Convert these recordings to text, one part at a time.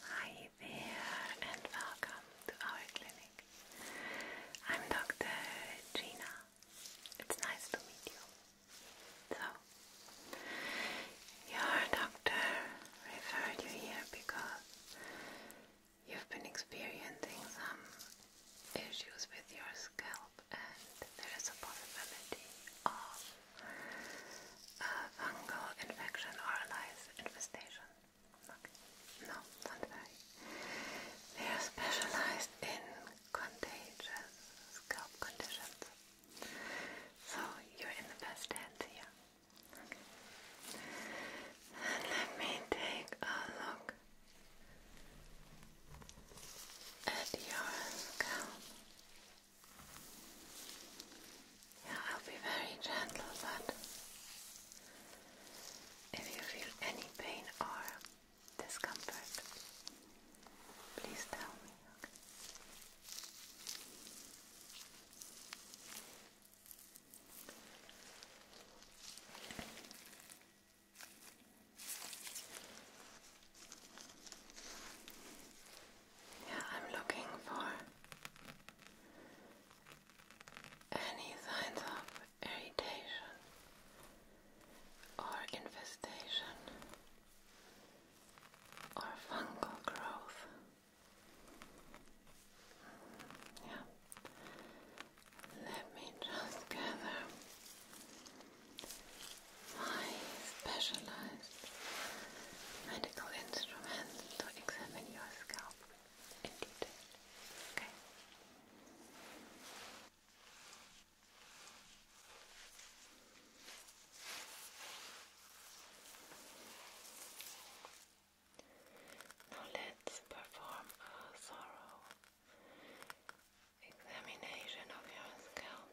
Hi there and welcome to our clinic. I'm Dr. Gina. It's nice to meet you. So, your doctor referred you here because you've been experiencing some issues with your scalp and there is a possibility of uh, a or lice infestation. Okay. No, not very. They are specialized in contagious scalp conditions. So you're in the best hands here. let me take a look at your scalp. I'll be very gentle, but if you feel any pain or discomfort, please tell me. Yeah, I'm looking for any signs of irritation or infestation or fungal growth. Mm, yeah. Let me just gather my specialized medical instruments to examine your scalp in detail. Okay. Now let's perform a thorough examination of your scalp.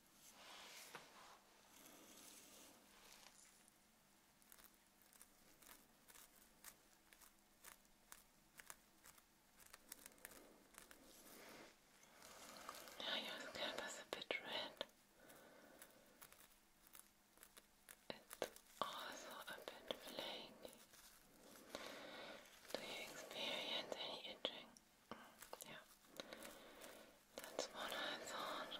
Now your scalp is a bit red. It's also a bit flaky. Do you experience any itching? Yeah. That's what I thought.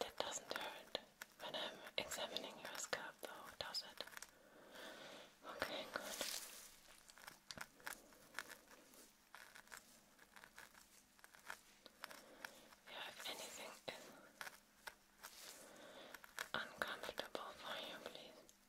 That doesn't hurt when I'm examining your scalp, though, does it? Okay, good. Yeah, if anything uncomfortable for you, please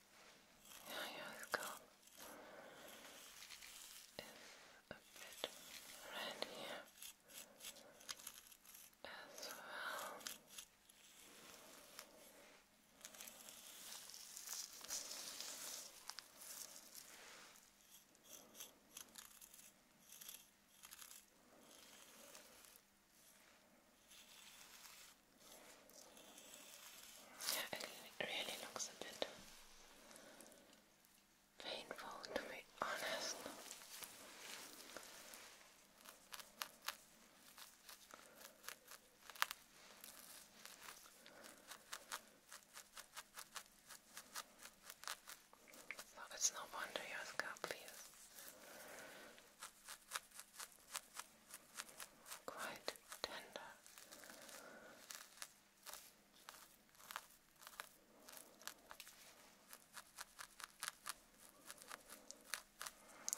Yeah, your scalp a bit red here as well. Yeah, it really looks a bit painful to be honest. So it's no wonder your scalp feels quite tender.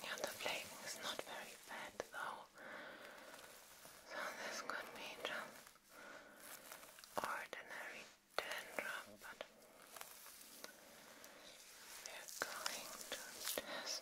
Yeah, the flaking is not very bad though, so this could be just ordinary dandruff, but we're going to test this,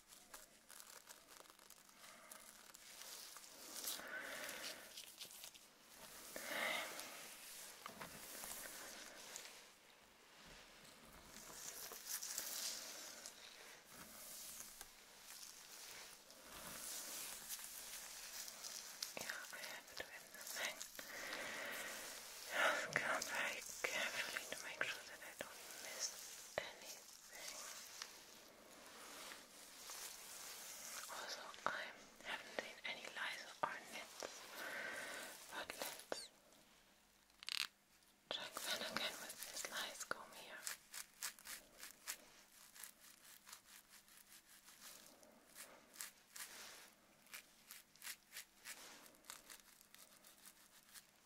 I have to end the thing. Just come very carefully to make sure that I don't miss any also, I haven't seen any lights or nets, but let's check that again with this light comb here.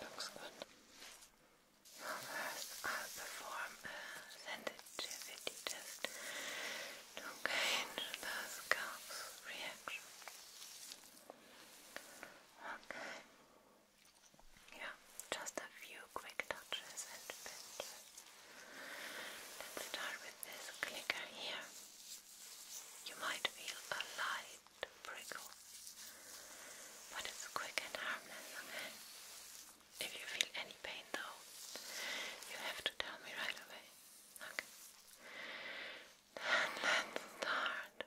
That looks good. first I'll perform a sensitivity test to gauge the scalp's reaction. Okay. Yeah, just a few quick touches and pinches. Let's start with this clicker here. You might feel a light to prickle. But it's quick and harmless, okay? If you feel any pain though, you have to tell me right away. Okay. Then let's start.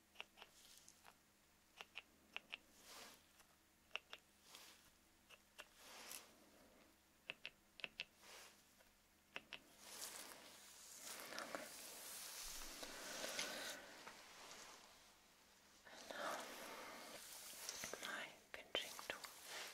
And now my pinching tool. Just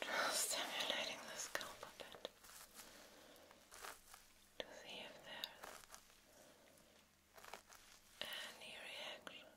Just stimulating the scalp a bit to see if there's any reaction.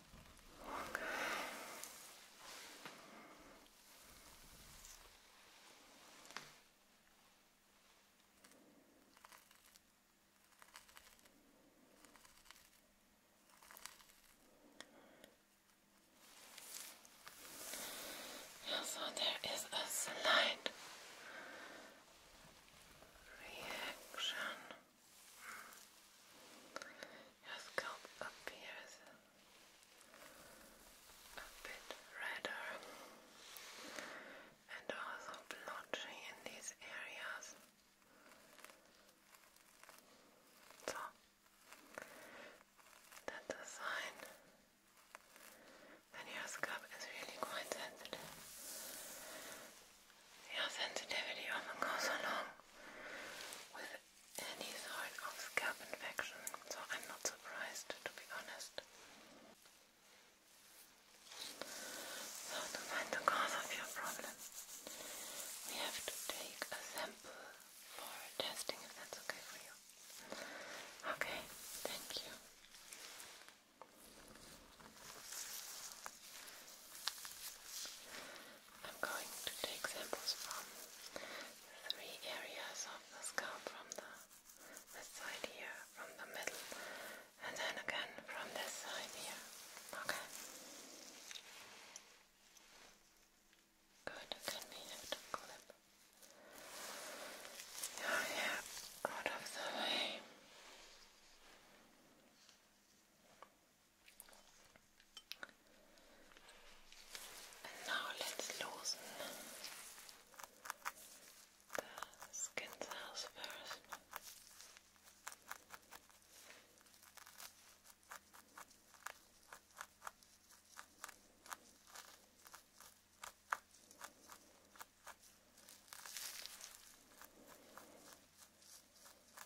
Okay. Yeah, so there is a slight reaction your scalp appears a bit redder and also blotchy in these areas. So that's a sign that your scalp is really quite sensitive. Your sensitivity often goes along with any sort of scalp infection, so I'm not surprised to be honest. to find the cause of your problem, we have to take a sample for testing if that's okay for you. Okay, thank you. I'm going to take samples from three areas of the scalp from the this side here, from the middle, and then again from this side here. Okay. Good, can we have to clip oh, your hair out of the way? And now let's loosen the skin cells first.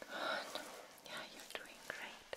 Good. Yeah, you're doing great.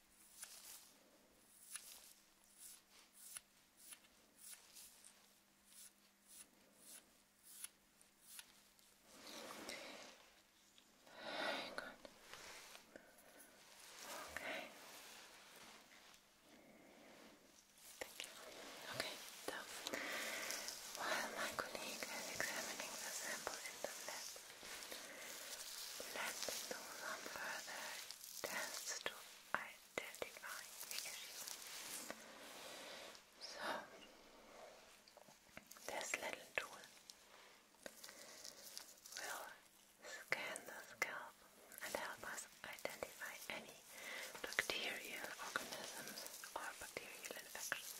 Thank you. while my is examining the sample in the lab, let do some further tests to identify So, this little tool will scan the scalp and help us identify any bacterial organisms or bacterial infections.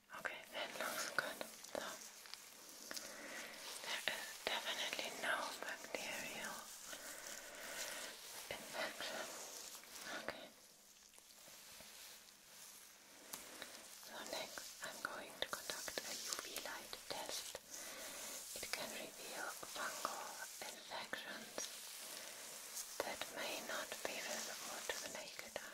Okay, that looks good. So, there is definitely no bacterial infection. Okay. So next, I'm going to conduct a UV light test. It can reveal fungal infections that may not be visible to the naked eye.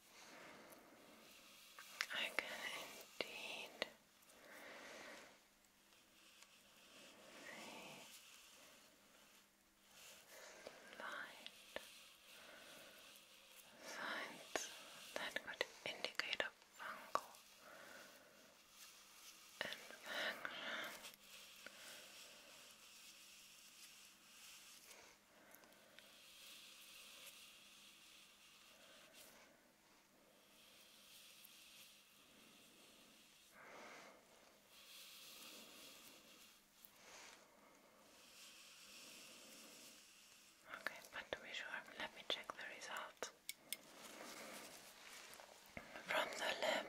I can indeed see signs that could indicate a fungal infection. Okay, but to be sure, let me check the result. From the lip.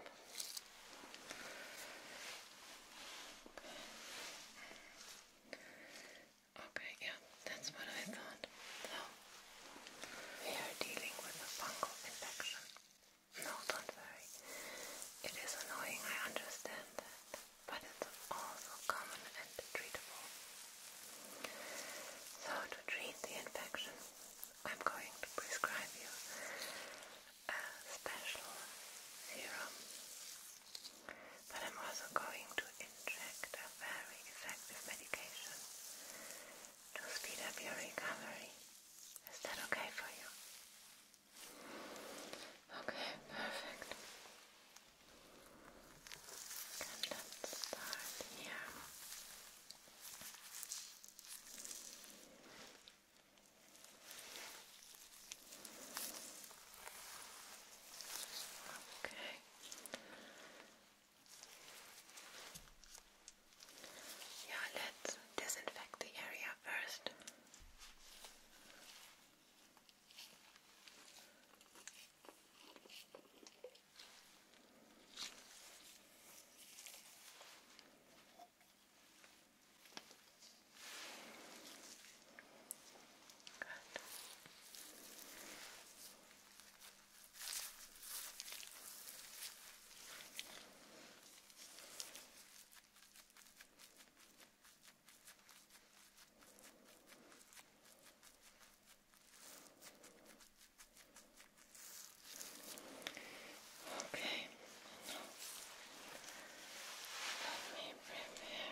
Okay, yeah, that's what I thought. So, we are dealing with a fungal infection. not worry. It is annoying, I understand but it's also common and treatable. So, to treat the infection, I'm going to prescribe you a special serum but I'm also going to inject a very effective medication to speed up your recovery. Is that okay for you? Okay, perfect. let's start here. Okay. Yeah, let's disinfect the area first. Okay. Good. Okay, now let me prepare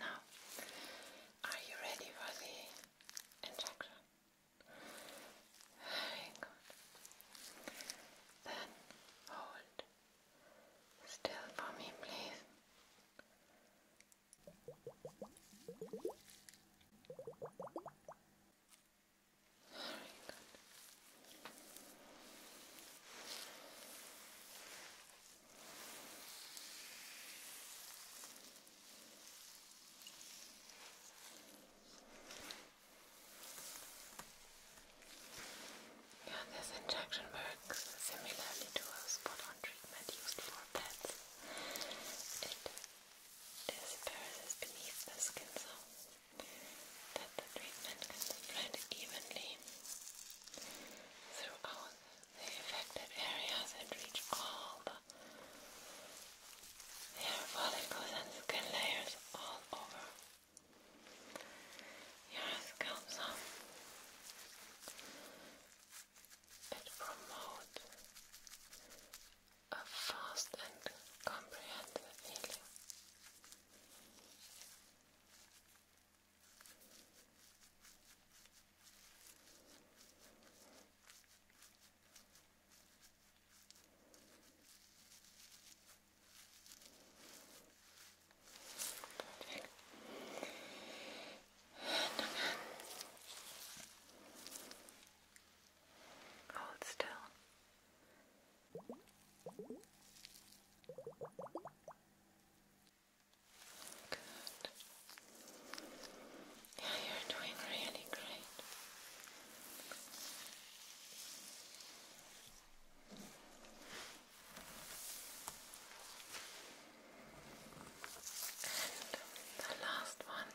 Now, are you ready for the injection? Very good. Then hold still for me, please. Yeah, this injection works similarly to a spot on treatment used for pets disperses beneath the skin so that the treatment can spread evenly throughout the affected areas and reach all the hair follicles and skin layers all over your scalp. So it a fast and comprehensive healing. Hold still. Good. Yeah, you're doing really great. the last one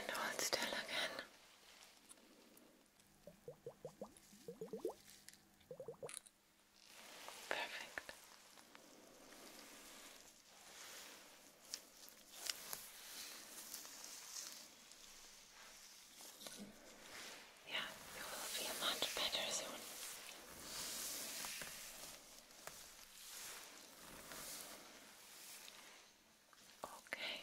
And hold still again. Perfect. Yeah, you will feel much better soon. Okay.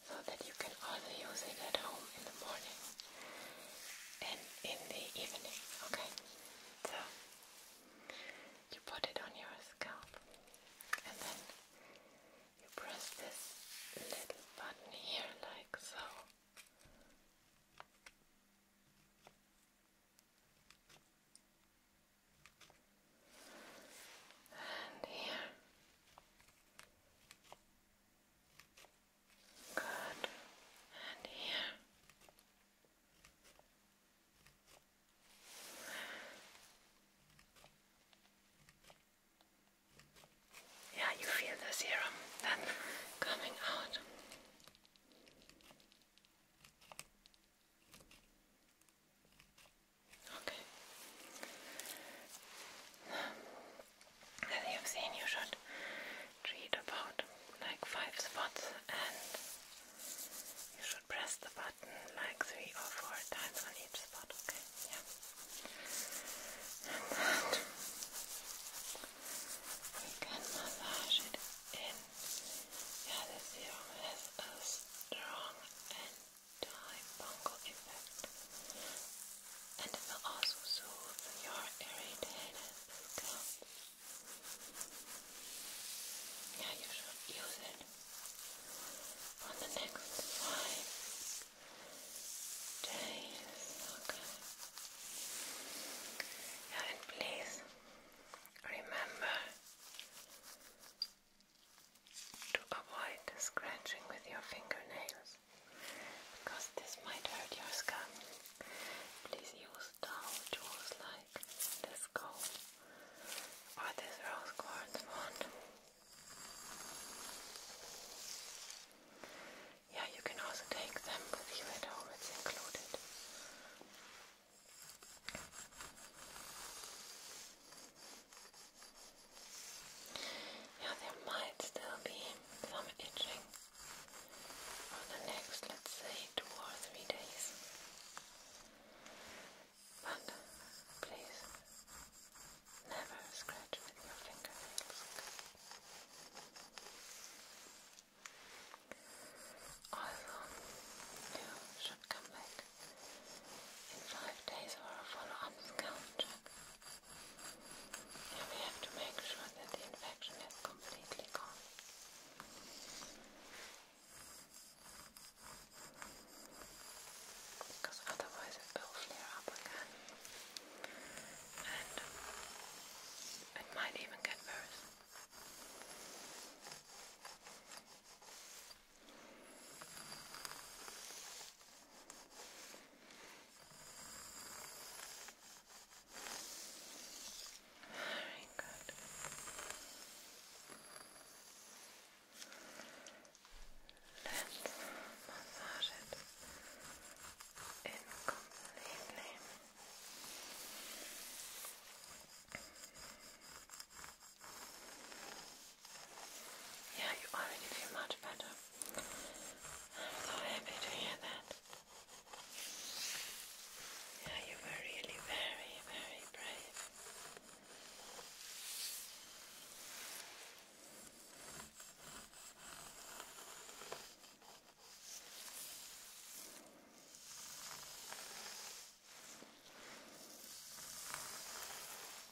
so that you can also use it at home in the morning and in the evening, okay? So, you put it on your scalp and then you press this little button here like so and here. Good, and here. Yeah, you feel the serum then coming out. Okay. As you've seen, you should treat about like five spots, and you should press the button like three or four times on each spot. Okay? And then we can massage it in. Yeah, the serum has a strong and time effect and it will also soothe your irritated scalp. Yeah, you should use it on the next five days. Okay. Yeah, and please remember to avoid scratching with your fingernails because this might hurt your scalp. Please use dull tools like this comb or this rose quartz wand. Yeah, you can also take them with it's included. Yeah, there might still be some itching for the next, let's say, two or three days. But please never scratch with your fingernails. Also, you should come back in Five days or a follow-up scalp check. And we have to make sure that the infection is completely gone. Because otherwise it will flare up again. And it might even get worse. Very good. Let's massage it completely. Yeah, you already feel much better. I'm so happy to hear that. Yeah, you were really very, very brave.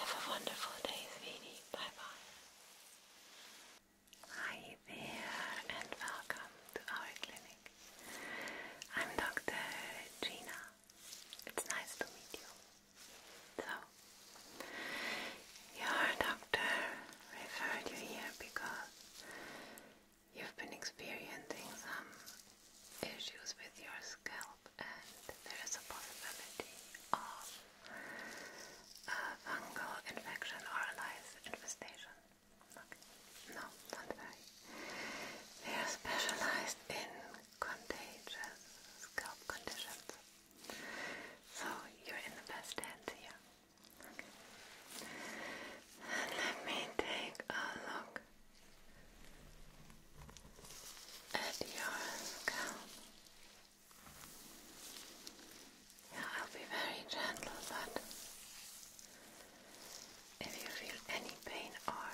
Have a wonderful day, sweetie. Bye bye. Hi there, and welcome to our clinic. I'm Dr. Gina. It's nice to meet you. So, your doctor referred you here because you've been experiencing some issues with your scalp and there is a possibility of uh, fungal infection or a lice infestation. Okay. No, not very. They are specialized in contagious scalp conditions. So you're in the best hands here. Okay. let me take a look at your scalp. Yeah, I'll be very gentle, but if you feel any pain or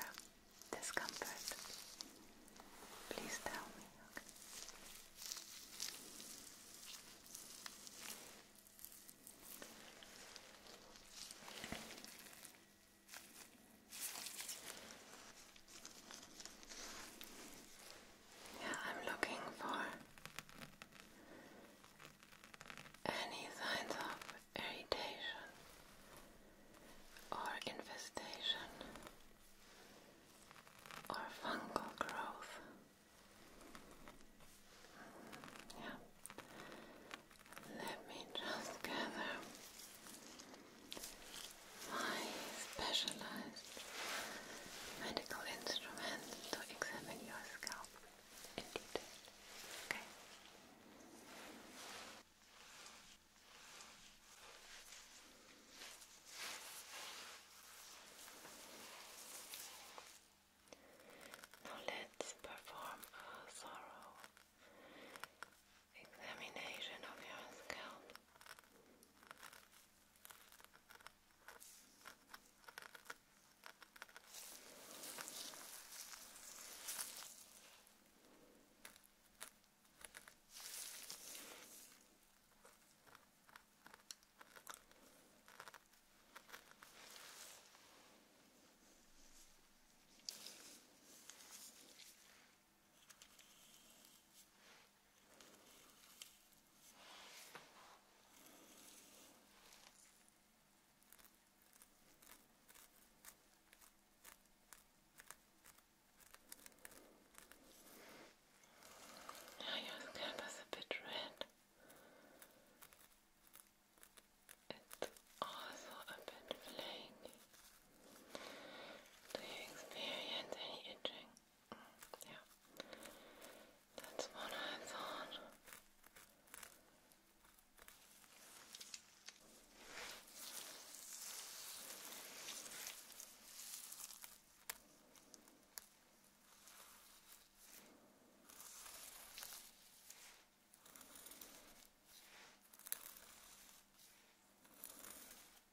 discomfort, please tell me, okay? Yeah, I'm looking for any signs of irritation or infestation or fungal growth. Yeah. Let me just gather I specialized medical instruments to examine your scalp in detail. Okay. Now let's perform a thorough examination of your scalp. Now your scalp is a bit red. It's also a bit flaky. Do you experience any itching? Mm, yeah. That's what I thought.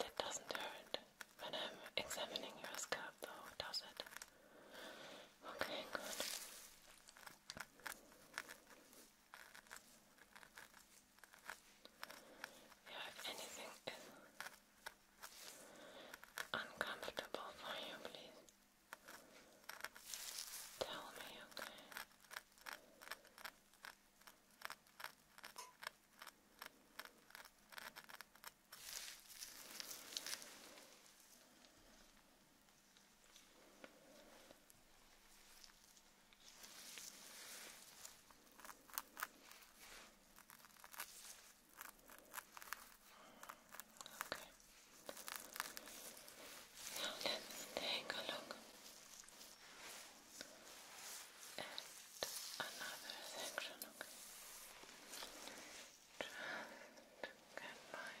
That doesn't hurt when I'm examining your scalp, though, does it? Okay, good. Yeah, if anything uncomfortable for you, please tell me, okay? Okay. Now let's take a look at another section, okay? Just get my red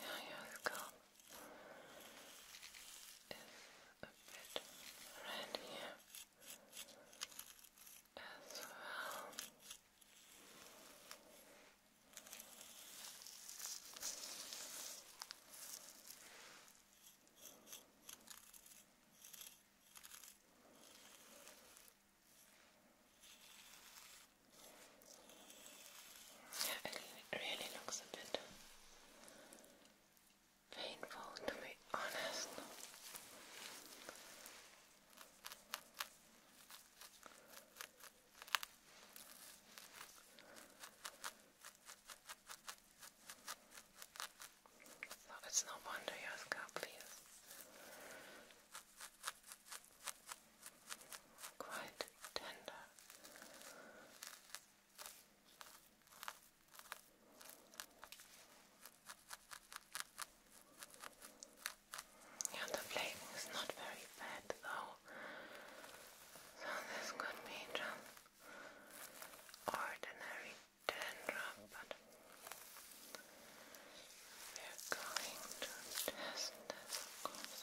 Now your scalp is a bit red here as well. Yeah, it really looks a bit painful to be honest. So it's no wonder your scalp feels quite tender. Yeah, the flavor is not very bad though, so this could be just ordinary dandruff, but we're going to test this, course.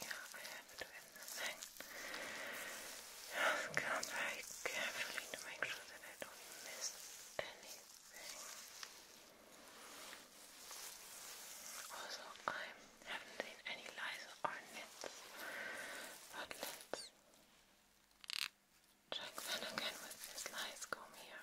Yeah, I have to thing. I'll count very carefully to make sure that I don't miss anything. Also, I haven't seen any lies or nits, but let's check that again with this lice comb here.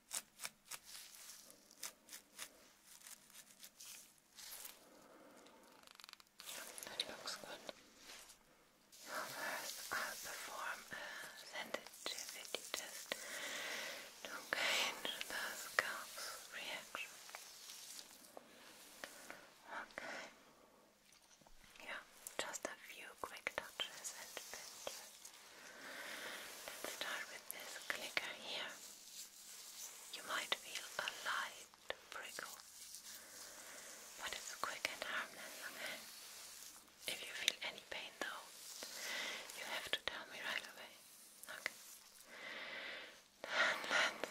That looks first I'll perform a sensitivity test to gauge the scalp's reaction. Yeah, just a few quick touches and pinches. Let's start with this clicker here. You might feel a light prickle, but it's quick and harmless, If you feel any pain though, you have to tell me right away, okay? Then let's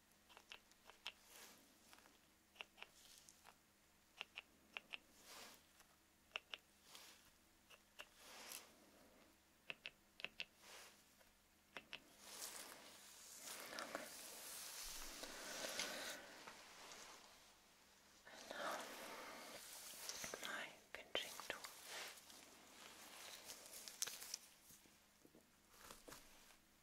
And now my pinching tool. Okay.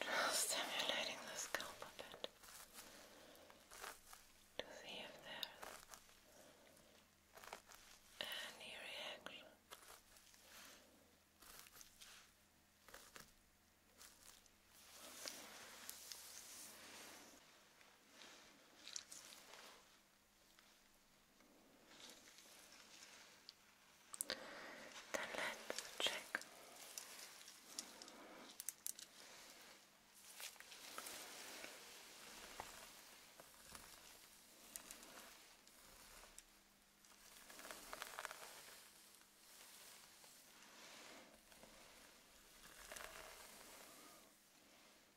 Just stimulating the scalp a bit to see if there's any reaction. Then let's check.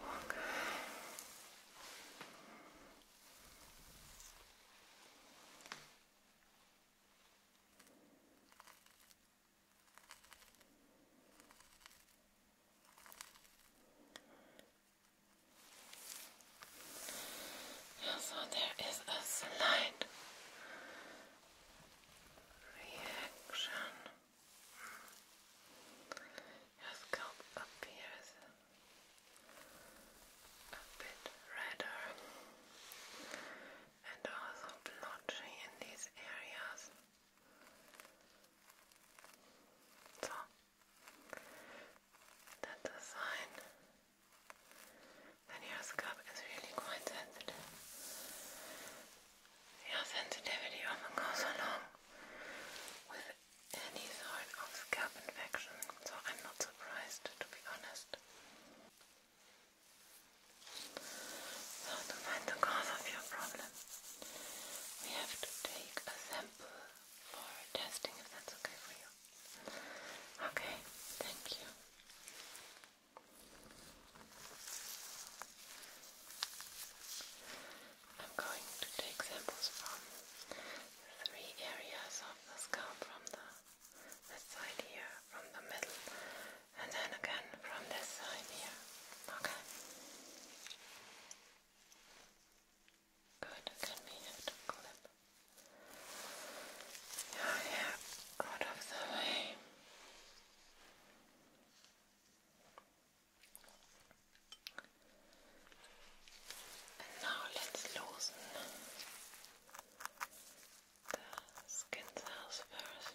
Okay. Yeah, so there is a slight reaction your scalp appears a bit redder and also blotchy in these areas. So that's a sign that your scalp is really quite sensitive your sensitivity often goes along with any sort of scalp infection, so I'm not surprised to be honest. So, to find the cause of your problem, we have to take a sample for testing if that's okay for you. Okay, thank you. I'm going to take samples from three areas of the scalp from the this side here, from the middle, and then again from this side here. Okay. Good, can we have clip your hair out of the way? And now let's loosen the skin cells first.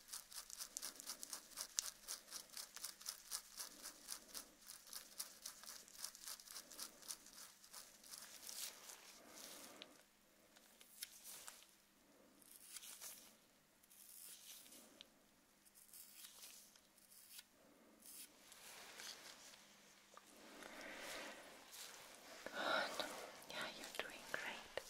Good. Yeah, you're doing great.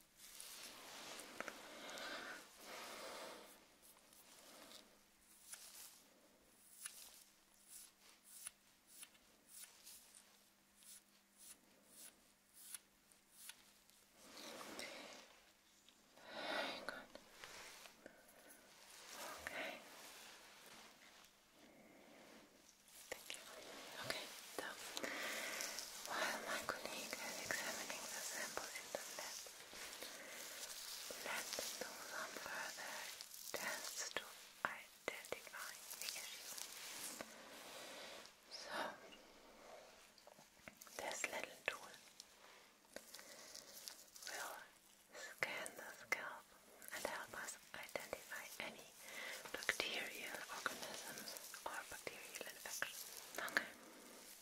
Very good. Okay. Thank you. Okay, so now while my colleague is examining the sample in the lab. Let's do some further tests to identify the issue. So, this little tool will scan the scalp and help us identify any bacterial organisms or bacterial infections.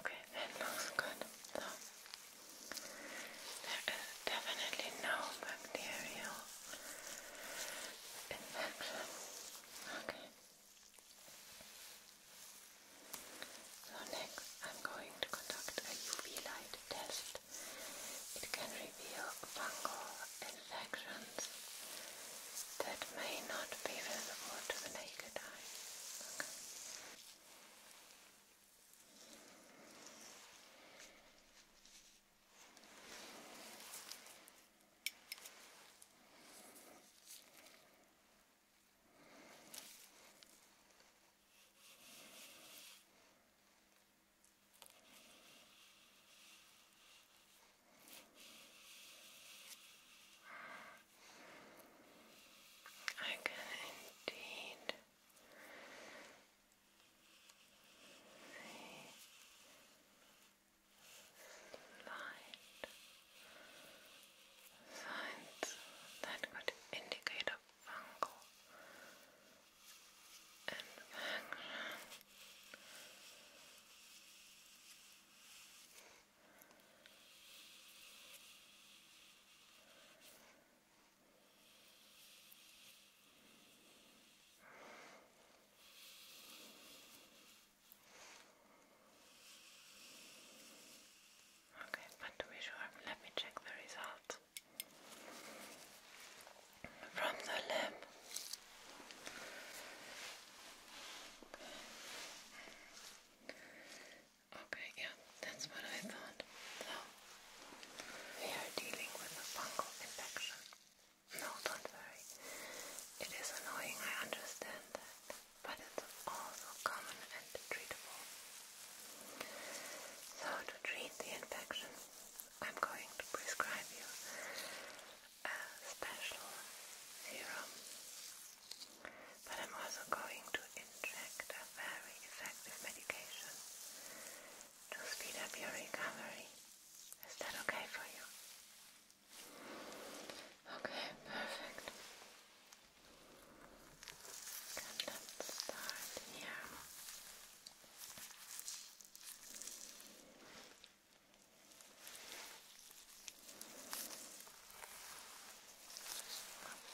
Okay, that looks good. So there is definitely no bacterial infection. Okay. So next I'm going to conduct a UV light test. It can reveal fungal imperfections that may not be visible to the naked eye. I can indeed see slight signs that could indicate a fungal infection. Okay, but to be sure, let me check the result from the lip. Okay. yeah, that's what I thought. So, we are dealing with a fungal infection. No, don't worry. It is annoying, I understand that, but it's also common and treatable. So, to treat the infection, I'm going to prescribe you a special serum, but I'm also going to inject a very effective medication to speed up your recovery. Is that okay for you? Okay, perfect. let's start here.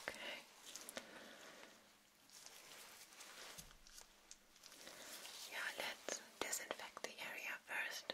Okay. Yeah, let's disinfect the area first.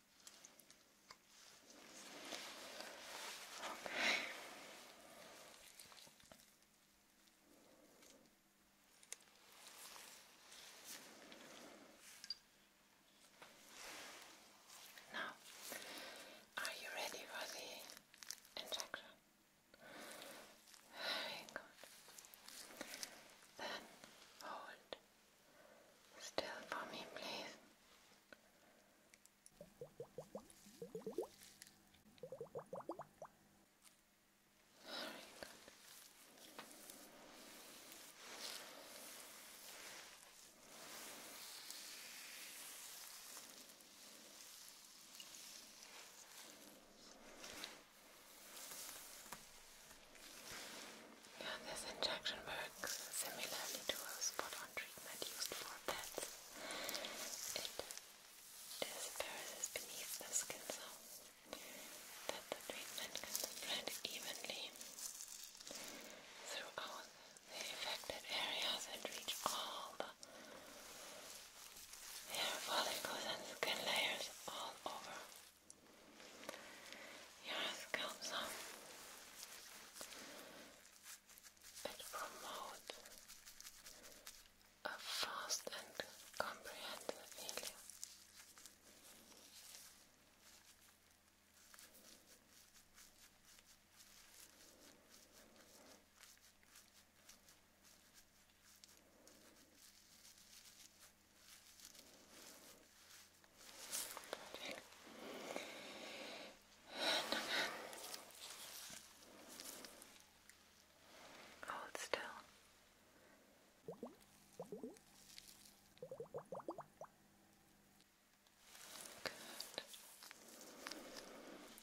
Okay. Now, are you ready for the injection? Very good. Then hold Still for me, please. Very good. Yeah, this injection works similarly to a spot-on treatment used for pets. It disperses beneath the skin so that the treatment can spread evenly throughout the affected areas and reach all the hair follicles and skin layers all over your scalp. It promotes a fast and comprehensive healing. Perfect. Hold still.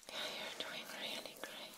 Yeah, you're doing really great.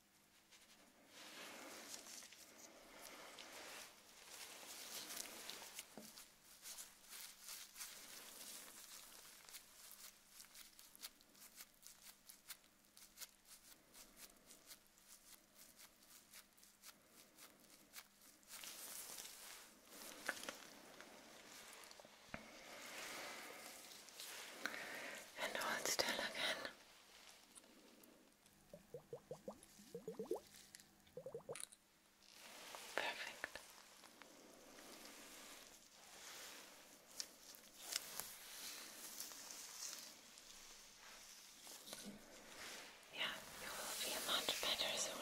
And hold still again. Perfect. Yeah, you will feel much better soon.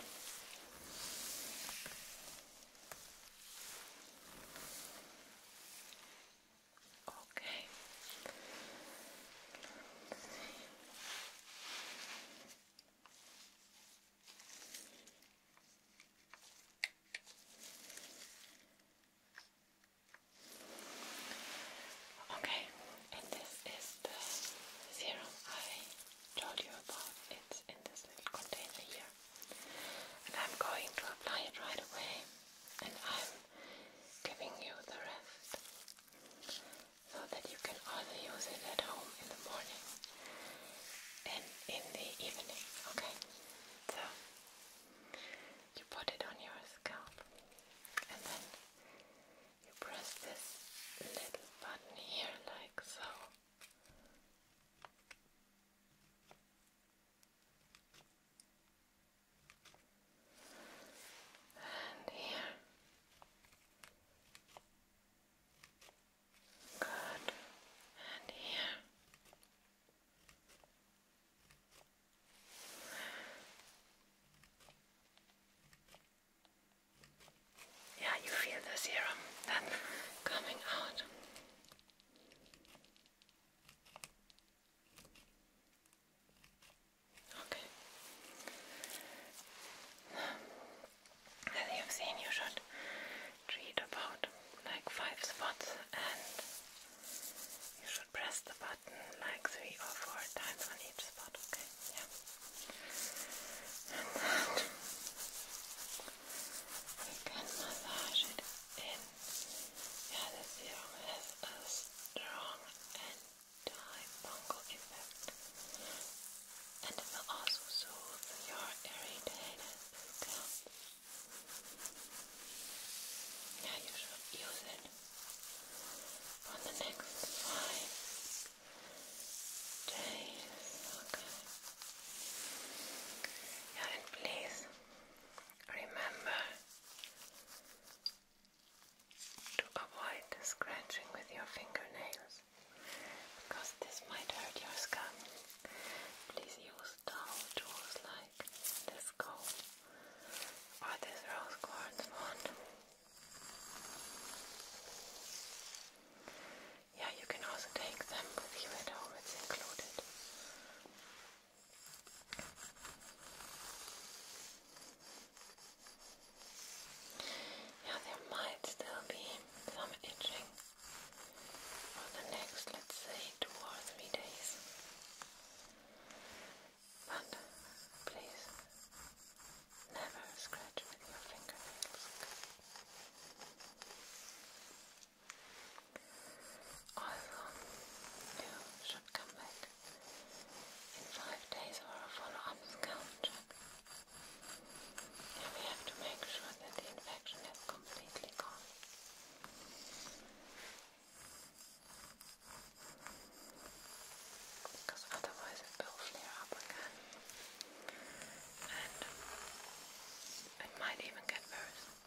Okay. Okay, and this is the serum I told you about. It's in this little container here. And I'm going to apply it right away and I'm giving you the rest so that you can also use it at home in the morning and in the evening, okay? So you put it on your scalp and then you press this little button here like so and here. Good, and here. Yeah, you feel the serum then coming out. Okay. As you've seen, you should treat about like five spots and you should press the button like three or four times on each spot, okay? And then we can massage it yeah, the serum has a strong anti-fungal effect and it will also soothe your irritated scalp. Yeah, you should use it for the next five days, okay? Yeah, and please remember to avoid scratching with your fingernails because this might hurt your scalp. Please use dull tools like this comb or this rose quartz one. Yeah, you can also take them with it's included. Yeah, there might still be some itching for the next, let's say, two or three days. But please never scratch with your fingernails. Also, you should come back in five days or a follow-up skull check. And we have to make sure that the infection is completely gone. Because otherwise it will flare up again. And it might even get worse.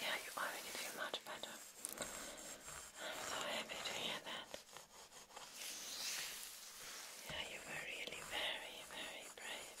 Yeah, you already feel much better. I'm so happy to hear that. Yeah, you were really very, very brave.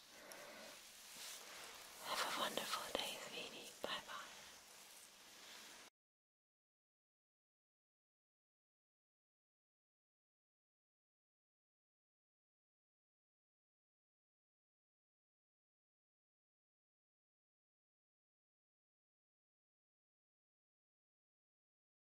Have a wonderful day, sweetie. Bye bye.